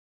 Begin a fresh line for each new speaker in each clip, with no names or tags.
Hey.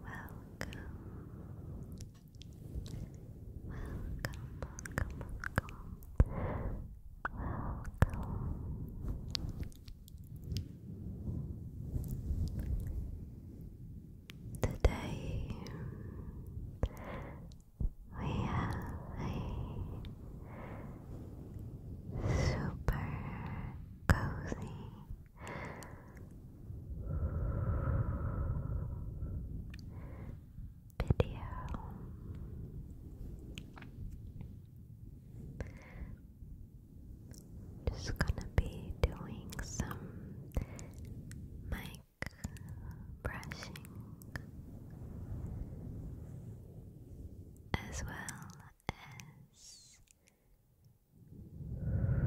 Welcome welcome, welcome, welcome. Today we have a super cozy video. Just gonna be doing some mic brushing as well as mic blowing.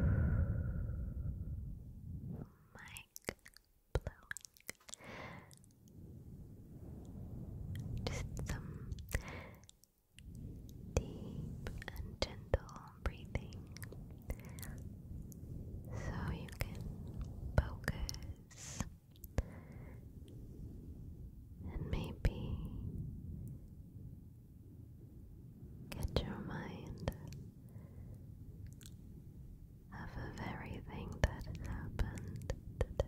Just some deep and gentle breathing so you can focus and maybe Get your mind of everything that happened today.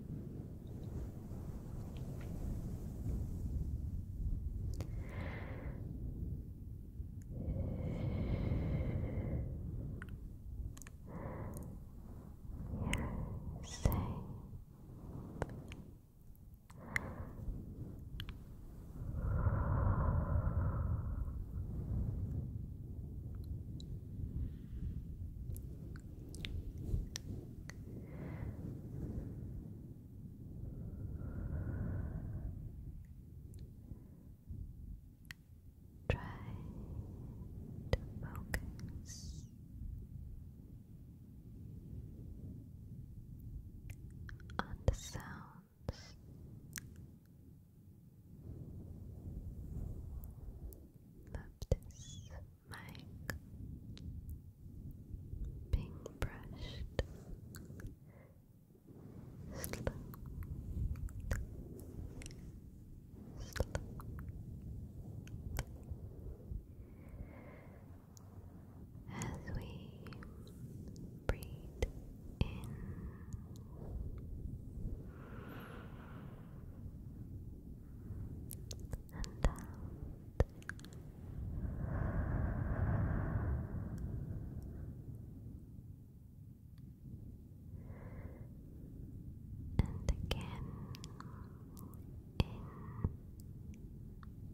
safe. you Try to focus on the sounds of this mic being brushed As we breathe in and out. And again in. And out.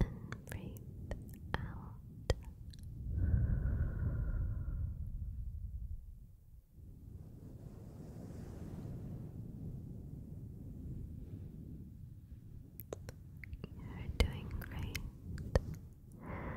and breathe out. You're doing great. It's okay.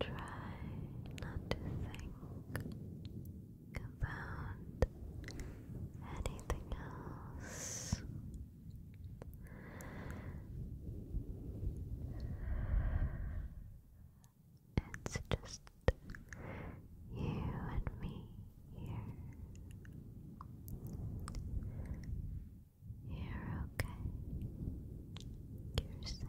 Try not to think about anything else. It's just you and me here. You're okay. You're safe.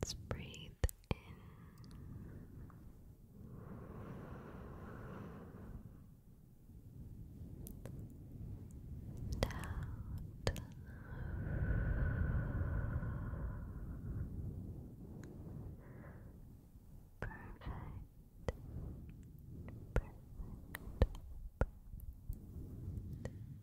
Let's breathe in. out. Perfect. Perfect.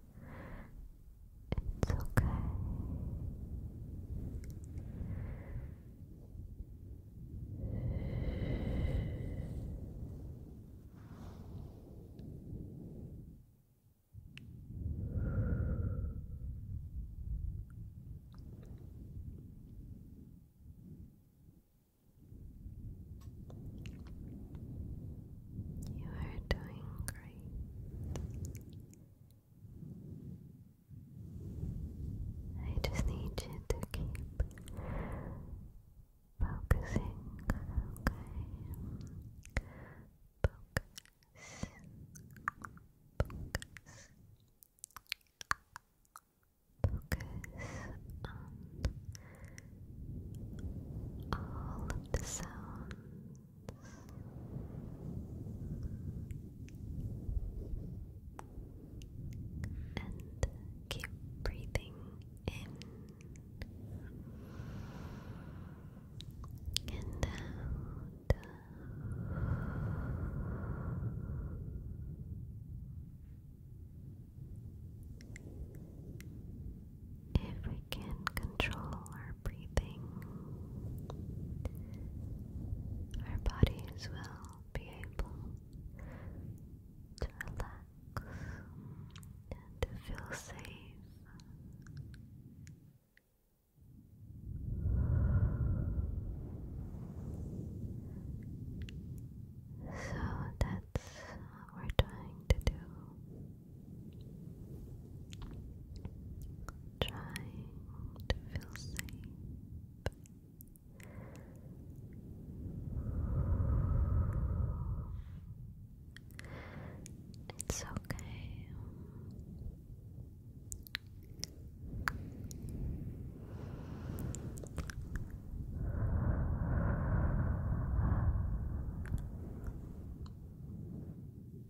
It's okay. You are doing great. I just need you to keep focusing, okay? Focus, focus, focus on all of the sounds and keep breathing in and Every we can control our breathing. Our bodies will be able to relax and to feel safe. So that's we're trying to do trying to feel safe. It's okay.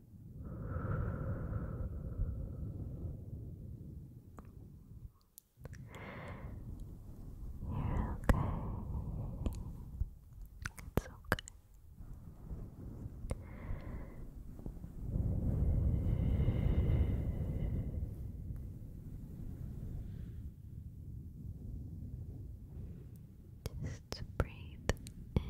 you okay. It's okay. Just breathe in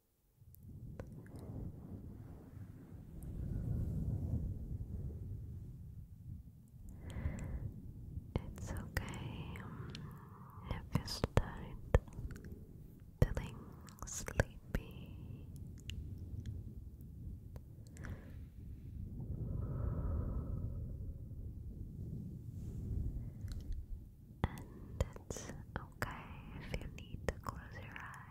It's okay um, if you start feeling sleepy. And it's okay if you need to close your eyes.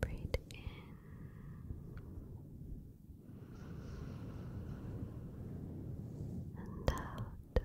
Breathe in. And out. Good.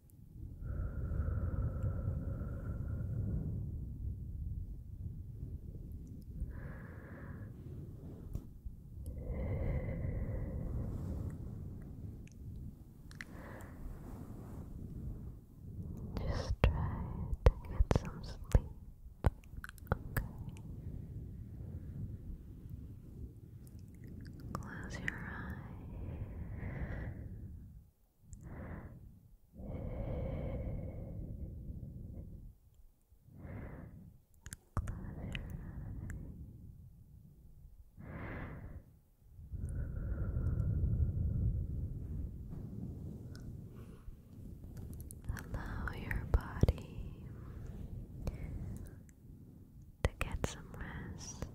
Just try to get some sleep, okay? Close your eyes. Close your eyes. Allow your body to get some rest.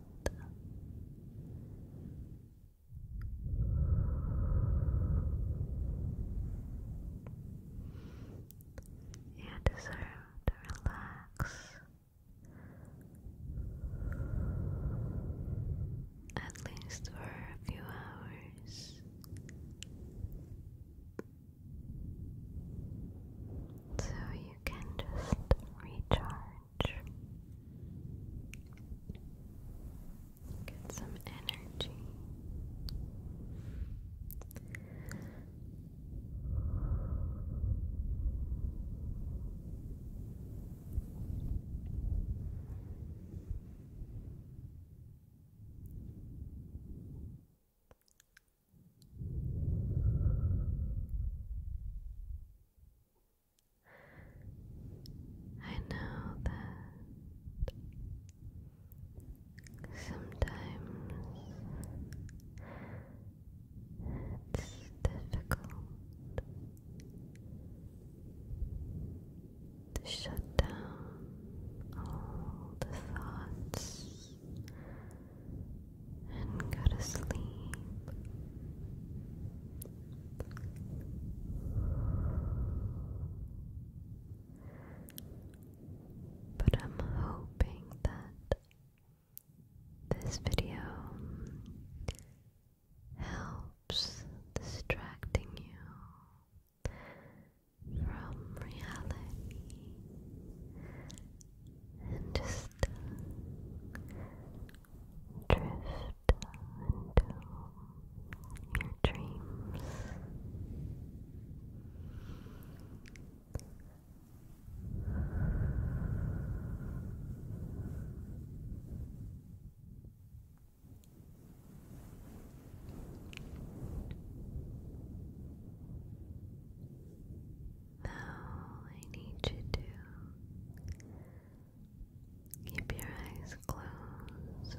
You deserve to relax at least for a few hours. So you can just recharge. Get some energy. I know that sometimes it's difficult to shut down all the thoughts and go to sleep. But I'm hoping that this video helps distracting you from reality and just drift into your dreams. Now I need you to keep your eyes closed.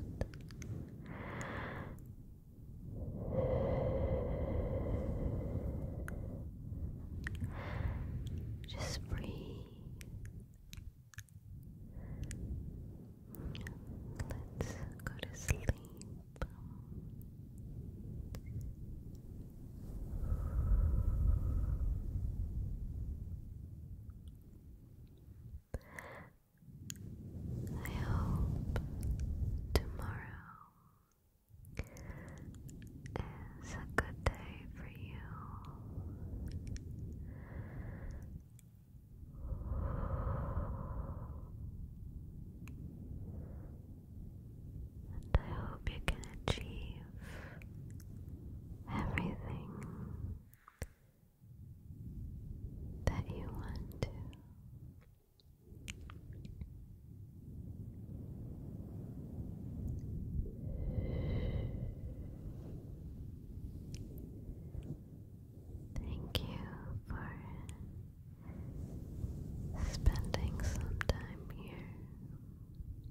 Just breathe. Let's go to sleep. I hope tomorrow is a good day for you and I hope you can achieve everything that you want to. Thank you for spending some time here.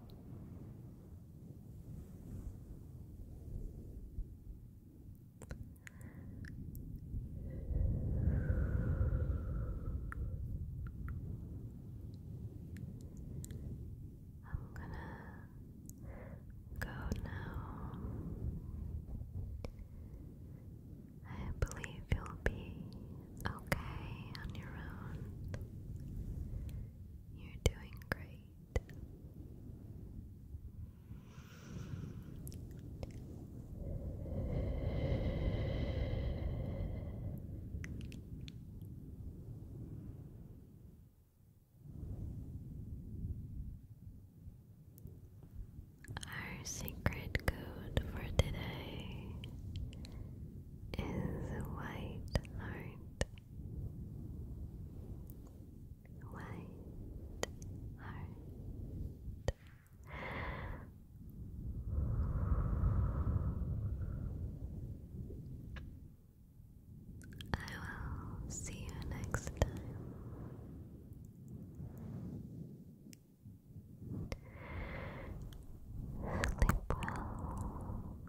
I'm gonna go now. I believe you'll be okay on your own. You're doing great. Our secret code for today is white heart white heart. I will see you next time. Sleep well.